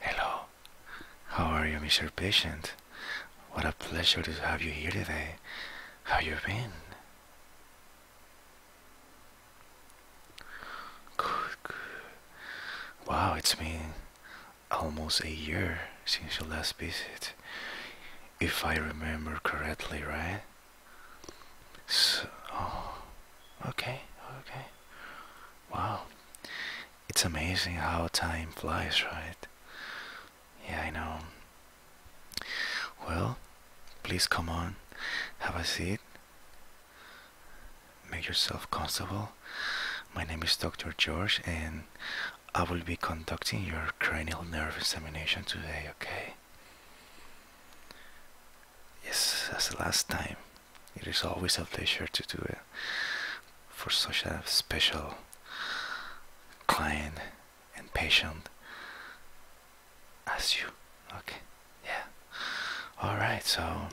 Hello, how are you, Mr. Patient? What a pleasure to have you here today. How you been? Good, good. Wow, it's been almost a year since your last visit. If I remember correctly, right? Oh, okay, okay. Wow. It's amazing how time flies, right? Yeah, I know. Well, please come on, have a seat, make yourself comfortable. My name is Dr. George, and I will be conducting your cranial nerve examination today, okay? okay yes as the last time it is always a pleasure to do it for such a special client and patient as you okay yeah all right so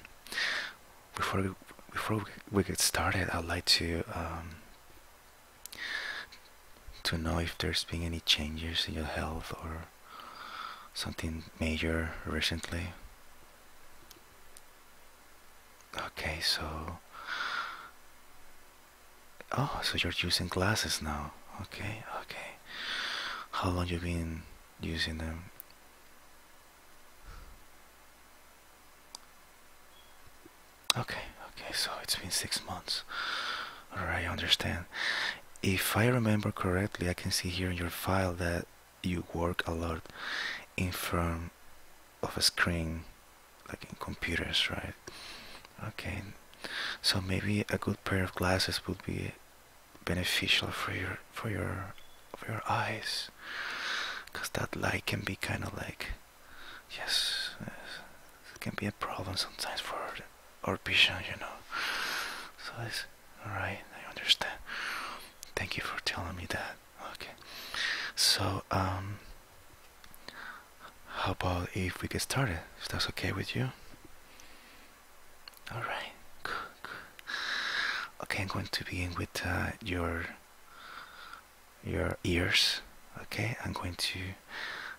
before we, before we get started i'd like to um, to know if there's been any changes in your health or something major recently? Okay, so. Oh, so you're using glasses now. Okay, okay. How long you have been using them? Okay, okay, so it's been six months. Alright, I understand. If I remember correctly, I can see here in your file that you work a lot in front of a screen, like in computers, right? Okay, so maybe a good pair of glasses would be beneficial for your for your for your eyes, because that light can be kind of like, yes, yes, it can be a problem sometimes for or vision, you know. So alright, I understand. Thank you for telling me that. Okay. So, um, how about if we get started? If that's okay with you? Alright, Okay, I'm going to begin with uh, your your ears. Okay, I'm going to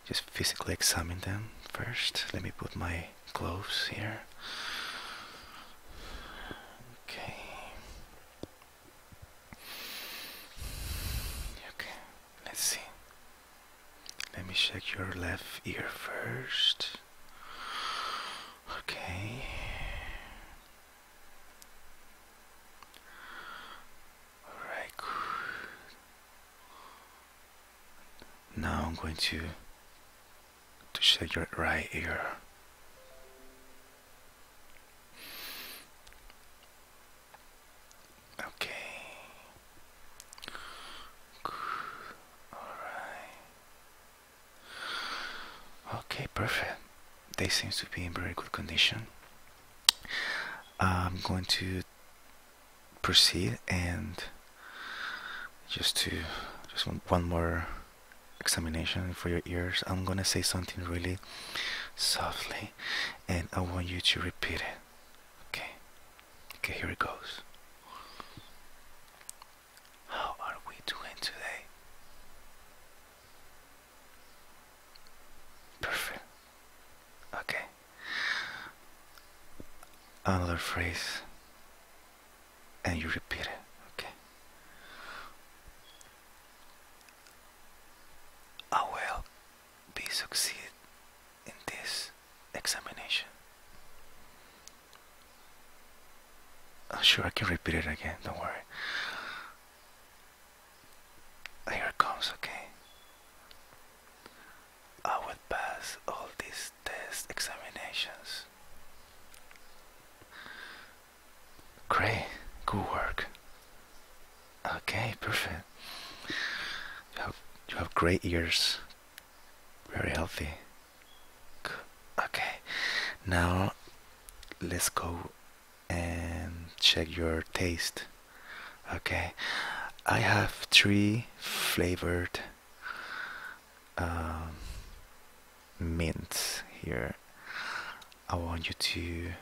just physically examine them first. Let me put my gloves here. Okay. Okay, let's see. Let me check your left ear first. Okay. Alright, Now I'm going to to check your right ear. Okay, perfect. They seem to be in very good condition. I'm going to proceed and just to just one more examination for your ears I'm gonna say something really softly and I want you to repeat it okay okay here it goes how are we doing today Perfect. Okay. Another phrase, and you repeat it. Okay. I will be succeed in this examination. I'm sure I can repeat it again. Don't worry. Here comes, okay? I will pass all these tests, examinations. Great, good work. Okay, perfect. You have, great ears. Very healthy. Okay, now let's go and check your taste. Okay, I have three flavored um, mints here. I want you to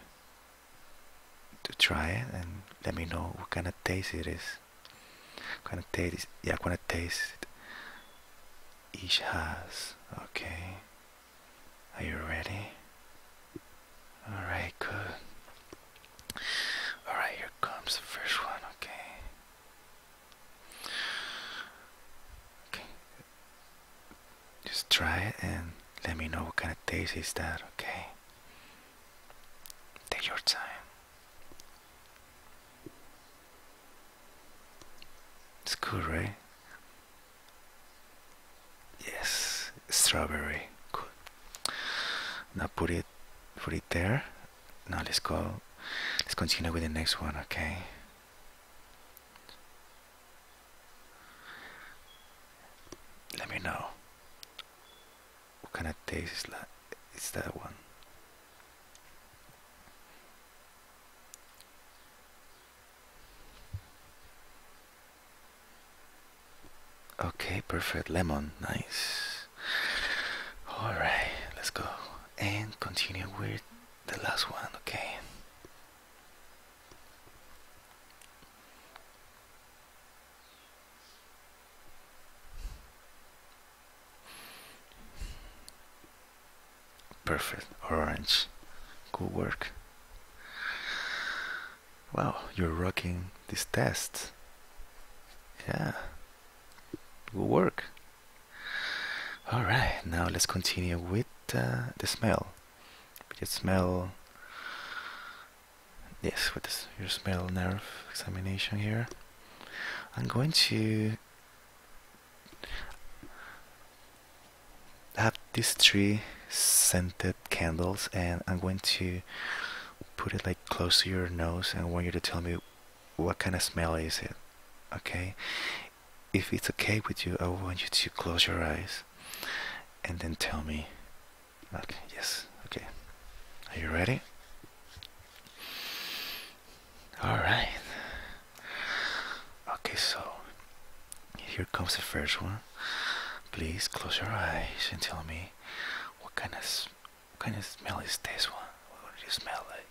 to try it and let me know what kind of taste it is. kind of taste? is Yeah, what kind of taste each has. Okay. Are you ready? Alright, good. Alright, here comes the first one, okay? Okay. Just try it and let me know what kind of taste is that, okay? Take your time. It's cool, right? Yes, strawberry. Cool. Now put it, put it there. Now let's go. Let's continue with the next one, okay? Let me know. What kind of taste is that? that one. Okay, perfect. Lemon, nice. Alright, let's go. And continue with the last one, okay? Perfect, orange. Good work. Wow, you're rocking this test. Yeah, good work. All right, now let's continue with uh, the smell. We just smell. Yes, with this, your smell nerve examination here. I'm going to have these three scented candles and I'm going to put it like close to your nose and I want you to tell me what kind of smell is it okay if it's okay with you I want you to close your eyes and then tell me okay yes okay are you ready all right. Okay, so here comes the first one. Please close your eyes and tell me what kind of kind of smell is this one? What do you smell like?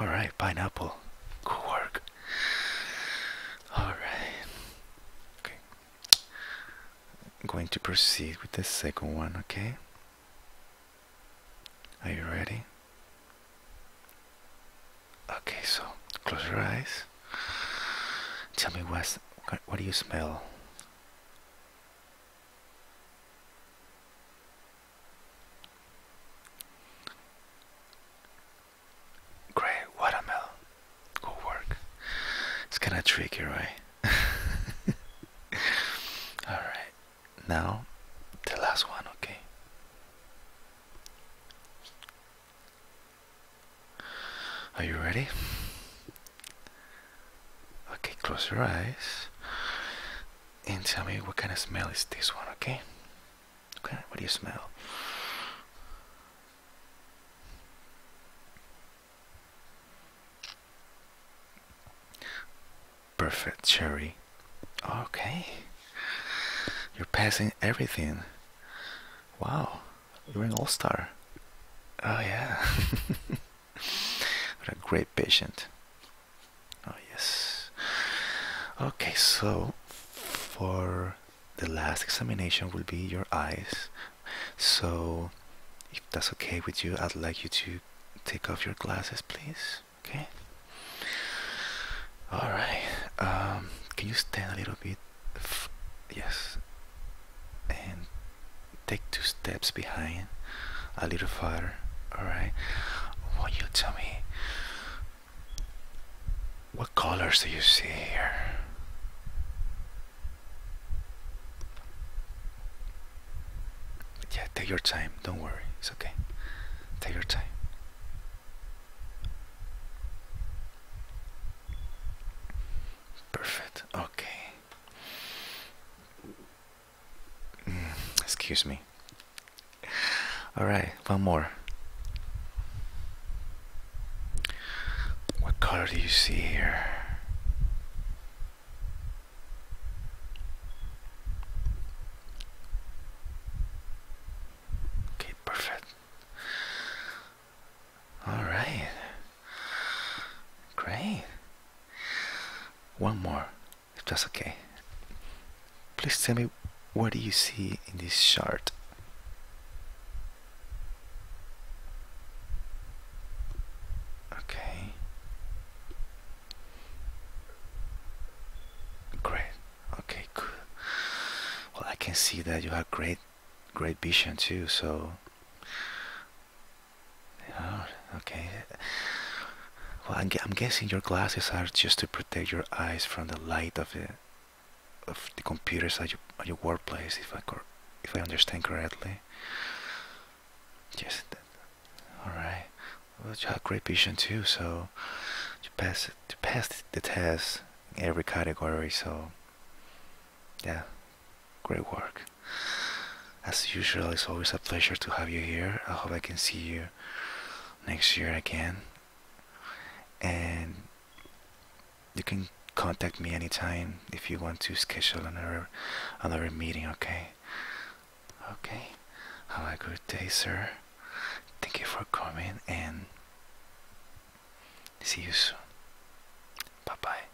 All right, pineapple. Good all right. Okay. I'm going to proceed with the second one, okay? Are you ready? Okay, so close your eyes. Tell me what's, what do you smell? Grey watermelon. Good work. It's kind of tricky, right? Alright, now the last one, okay? Are you ready? Okay, close your eyes and tell me what kind of smell is this one, okay? Okay, what do you smell? Perfect, cherry. Okay. You're passing everything. Wow, you're an all star. Oh, yeah. what a great patient. Oh, yes. Okay, so for the last examination will be your eyes. So, if that's okay with you, I'd like you to take off your glasses, please. Okay? Alright. Um, can you stand a little bit? yes. And take two steps behind, a little farther. Alright. What you tell me what colors do you see here? Yeah, take your time. Don't worry. It's okay. Take your time. Perfect. Okay. Excuse me. Alright, one more. What color do you see here? Okay, perfect. Alright. Great. One more. That's okay. Please tell me what do you see in this chart? Okay. Great. Okay, cool. Well, I can see that you have great, great vision too, so okay. Well, I'm, guessing your glasses are just to protect your eyes from the light of the computers at your, at your workplace, if I if I understand correctly. Yes. All right. Well, great vision too, so you pass you passed the test in every category. So, yeah, great work. As usual, it's always a pleasure to have you here. I hope I can see you next year again. And you can contact me anytime if you want to schedule another another meeting, okay? Okay. Have a good day, sir. Thank you for coming and see you soon. Bye bye.